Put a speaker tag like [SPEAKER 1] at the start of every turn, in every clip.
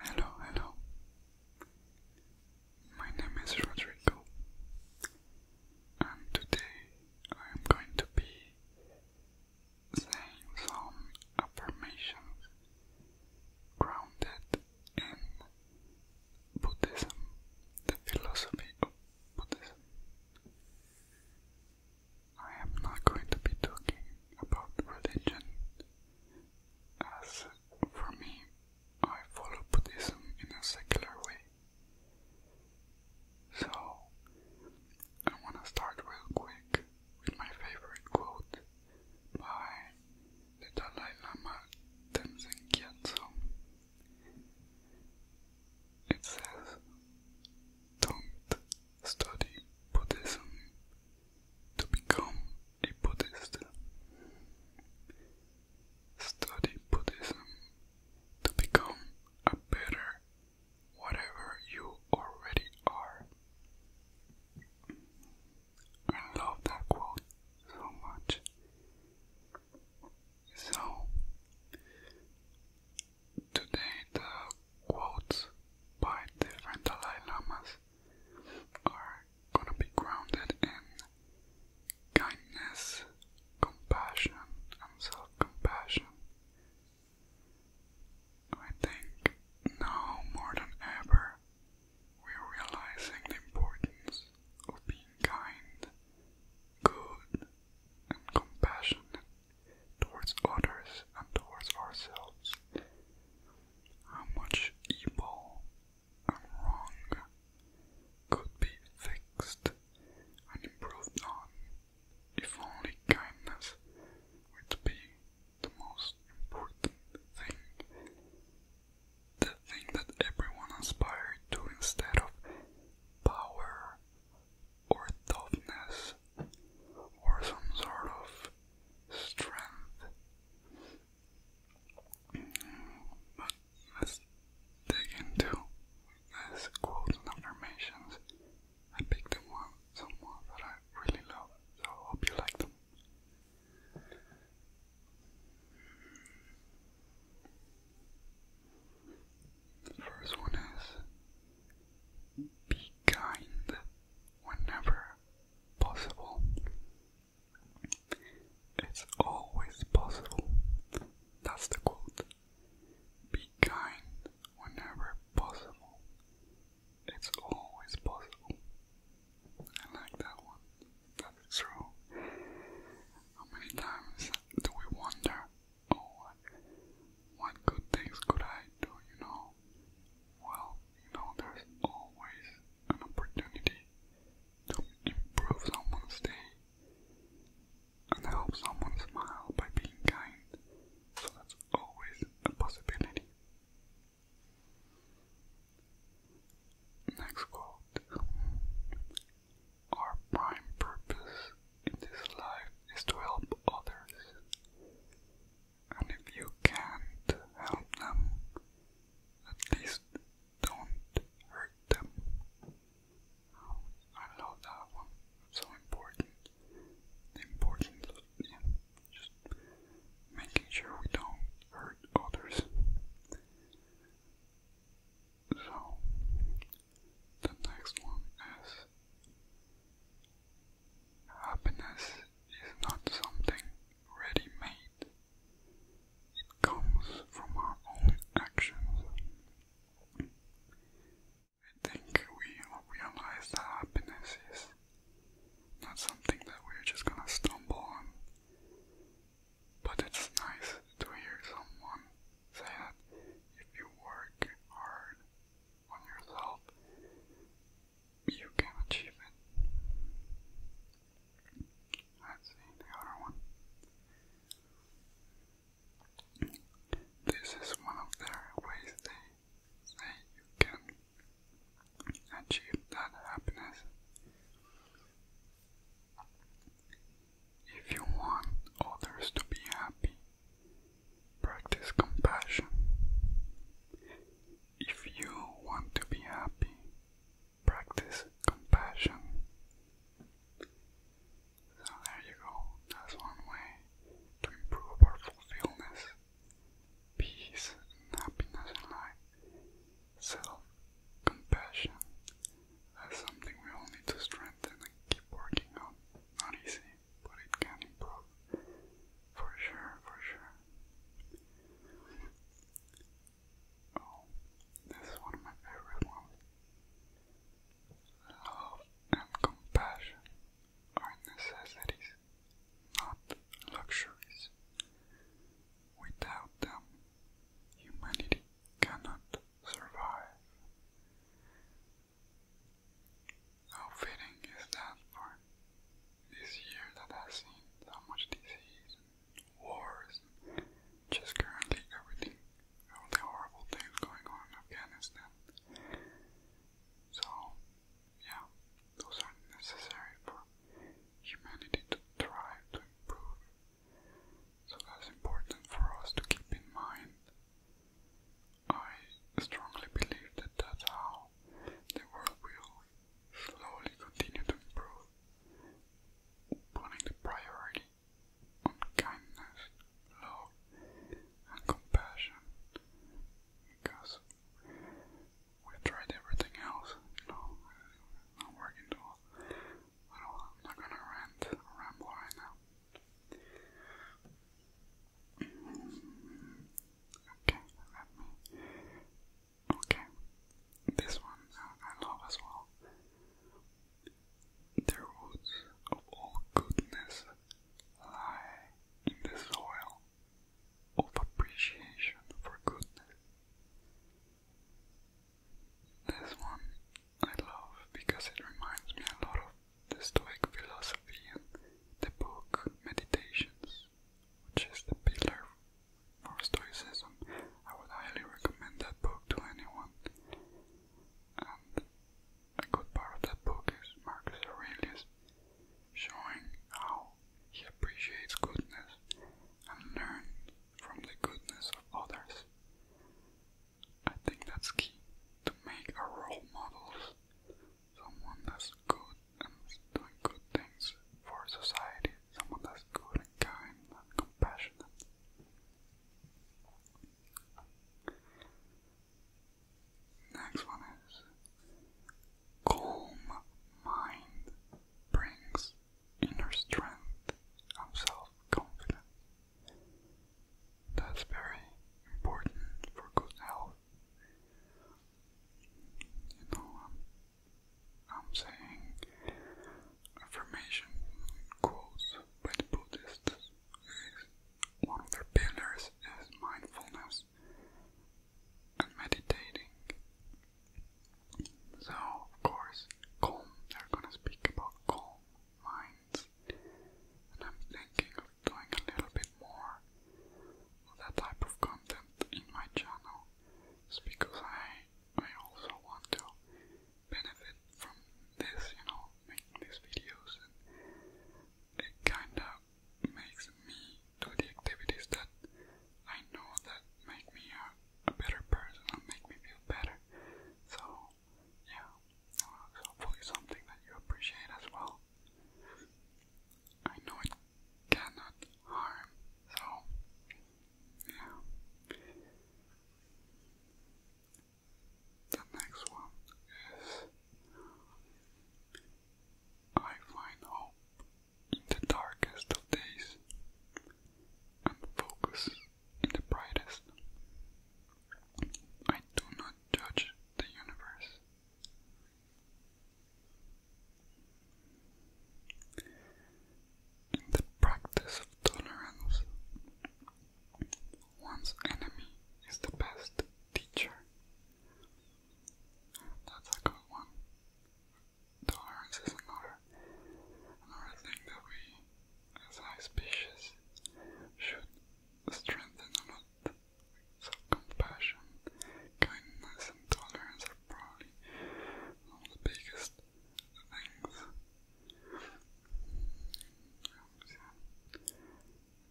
[SPEAKER 1] Hello, hello. My name is Rodrigo, and today I am going to be saying some affirmations grounded in Buddhism, the philosophy of Buddhism. I am not going to be talking about religion. As for me, I follow Buddhism in a secular way. So, I want to start real quick with my favorite quote by the Dalai Lama Tenzin Gyatso. It says, Don't study Buddhism to become a Buddhist. Study Buddhism to become a better whatever you already are. I love that quote so much. So, today the quotes by different Dalai Lamas are gonna be grounded in kindness, compassion, and self compassion. I think now more than ever we're realizing the importance of being kind, good, and compassionate towards others and towards ourselves how much evil and wrong could be fixed and improved on if only kindness would be the most important thing. The thing that everyone aspired to instead of power or toughness or some sort of strength. But let's dig into these quotes and affirmations. I picked one, some more that I really love, so hope you like them. The first one is be kind whenever possible. It's always possible. That's the quote. Be kind whenever possible. It's always possible. I like that one. That's true. How many times do we wonder, oh, what good things could I do, you know? Well, you know, there's always an opportunity to improve someone's day and help someone smile by being kind. So that's always a possibility. Next quote. Our prime purpose in this life is to help others and if you can't help them, at least don't hurt them. I love that one. so important. The yeah, just making sure we don't hurt others. So the next one is Happiness is not something ready made, it comes from our own actions. I think we realize that happiness is not something that we're just gonna stumble on, but it's nice to hear someone say that if you work hard on yourself, you can achieve it. Let's see the other one. This is one of their ways they say you can achieve that happiness. If you want others to be happy, practice compassion. If you want to be happy, practice compassion. So there you go, that's one way to improve our fulfillment, peace happiness in life. Self-compassion, that's something we all need to strengthen and keep working on. Not easy, but it can improve. For sure, for sure. Oh, this is one of my favorite ones. Love and compassion are necessities, not luxuries. Without them, humanity cannot survive. How fitting is that for this year that has seen so much disease wars just currently everything, all the horrible things going on Afghanistan. So, yeah, those are necessary for humanity to thrive, to improve. So that's important for us to keep in mind. I strongly believe that that's how the world will slowly continue to improve, putting the priority on kindness, love, and compassion because we tried everything else, you not working at all. I am not going to rant, ramble right now. Okay, Okay, this one uh, I, love as well. The roots of all goodness lie in the soil of appreciation for goodness. This one I love because it reminds me a lot of the Stoic philosophy and the book Meditations which is the pillar for Stoicism. I would highly recommend that book to anyone. And a good part of that book is Marcus Aurelius showing how he appreciates goodness and learns from the goodness of others. I think that's key to make a role model someone that's good and doing good things for society, someone that's good and kind and compassionate. Next one is calm mind brings inner strength and self-confidence. That's very important for good health. You know, um, I'm saying affirmation quotes by the Buddhists. One of their pillars is mindfulness and meditating. So, of course, calm, they're gonna speak about calm minds. And I'm thinking of doing a little bit more of that type of content in my channel. It's because I I also want to benefit from this, you know, making these videos, and it kinda makes me do the activities that I know that make me a, a better person and make me feel better. So yeah, hopefully something that you appreciate as well. I know it cannot harm, so yeah. The next one is I find hope in the darkest of days and focus in the brightest. I do not judge the universe. In the practice of tolerance, one's enemy is the best teacher. That's a good one. Tolerance is another, another thing that we, as a species, should strengthen a lot. So compassion, kindness, and tolerance probably one of the biggest things.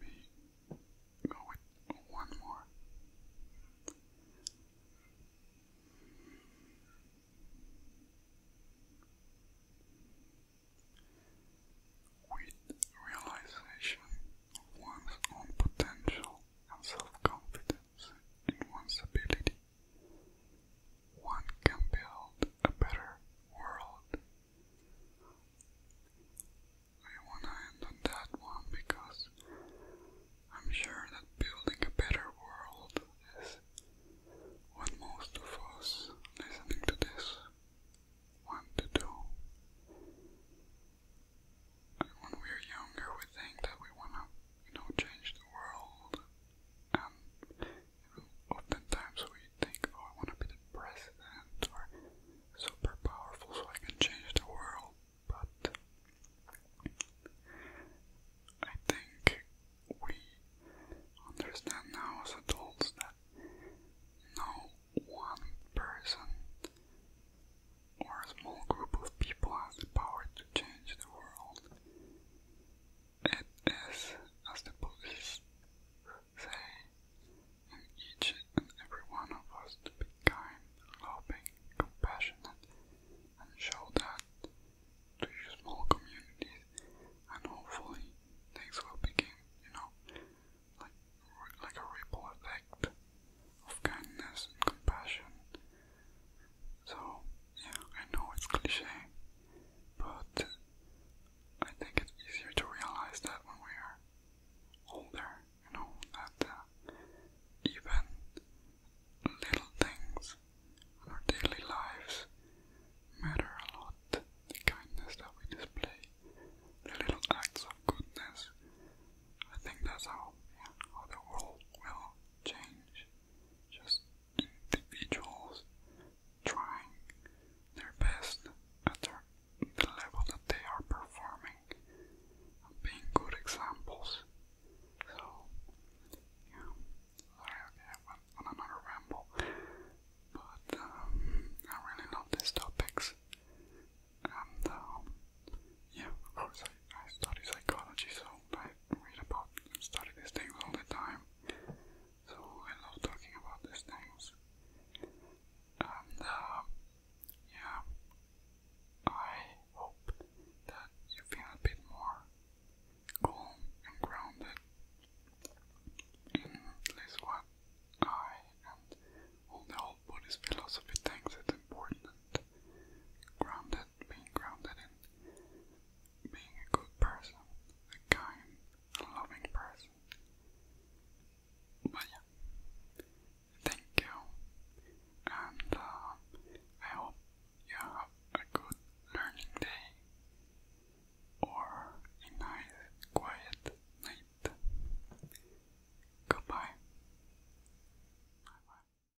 [SPEAKER 1] We with one more. With realization of one's own potential and self confidence in one's ability, one can build a better world. I want to end on that one because I'm sure that building a better world is what most of us listening to this want to do when we are younger, we think that we want to, you know, change the world. And oftentimes we think, oh, I want to be the president or super powerful so I can change the world. But I think we understand now as adults that no one person or a small group of people has the power to change the world. and as the police say, and each and every one of us to be kind, loving, compassionate, and show that to your small communities, and hopefully things will begin, you know, like like a ripple effect of kindness and compassion so, yeah, I know it's cliche, but I think it's easier to realize that when we are older, you know, that uh, even little things in our daily lives matter a lot. The kindness that we display, the little acts of goodness. I think that's how, how the world will change, just individuals trying their best at the level that they are performing being good examples. So, yeah, sorry, I went on another ramble, but um, I really love these topics, um, yeah, of oh, course, I, I study psychology, so I read about and study these things all the time. So I love talking about these things. And, uh, yeah, I hope that you feel a bit more calm and grounded in this what I and all the whole Buddhist philosophy thinks it's important. Grounded being grounded being a good person, a kind, loving person. But yeah, thank you, and uh, I hope you have a good learning day or a nice, quiet night. Goodbye.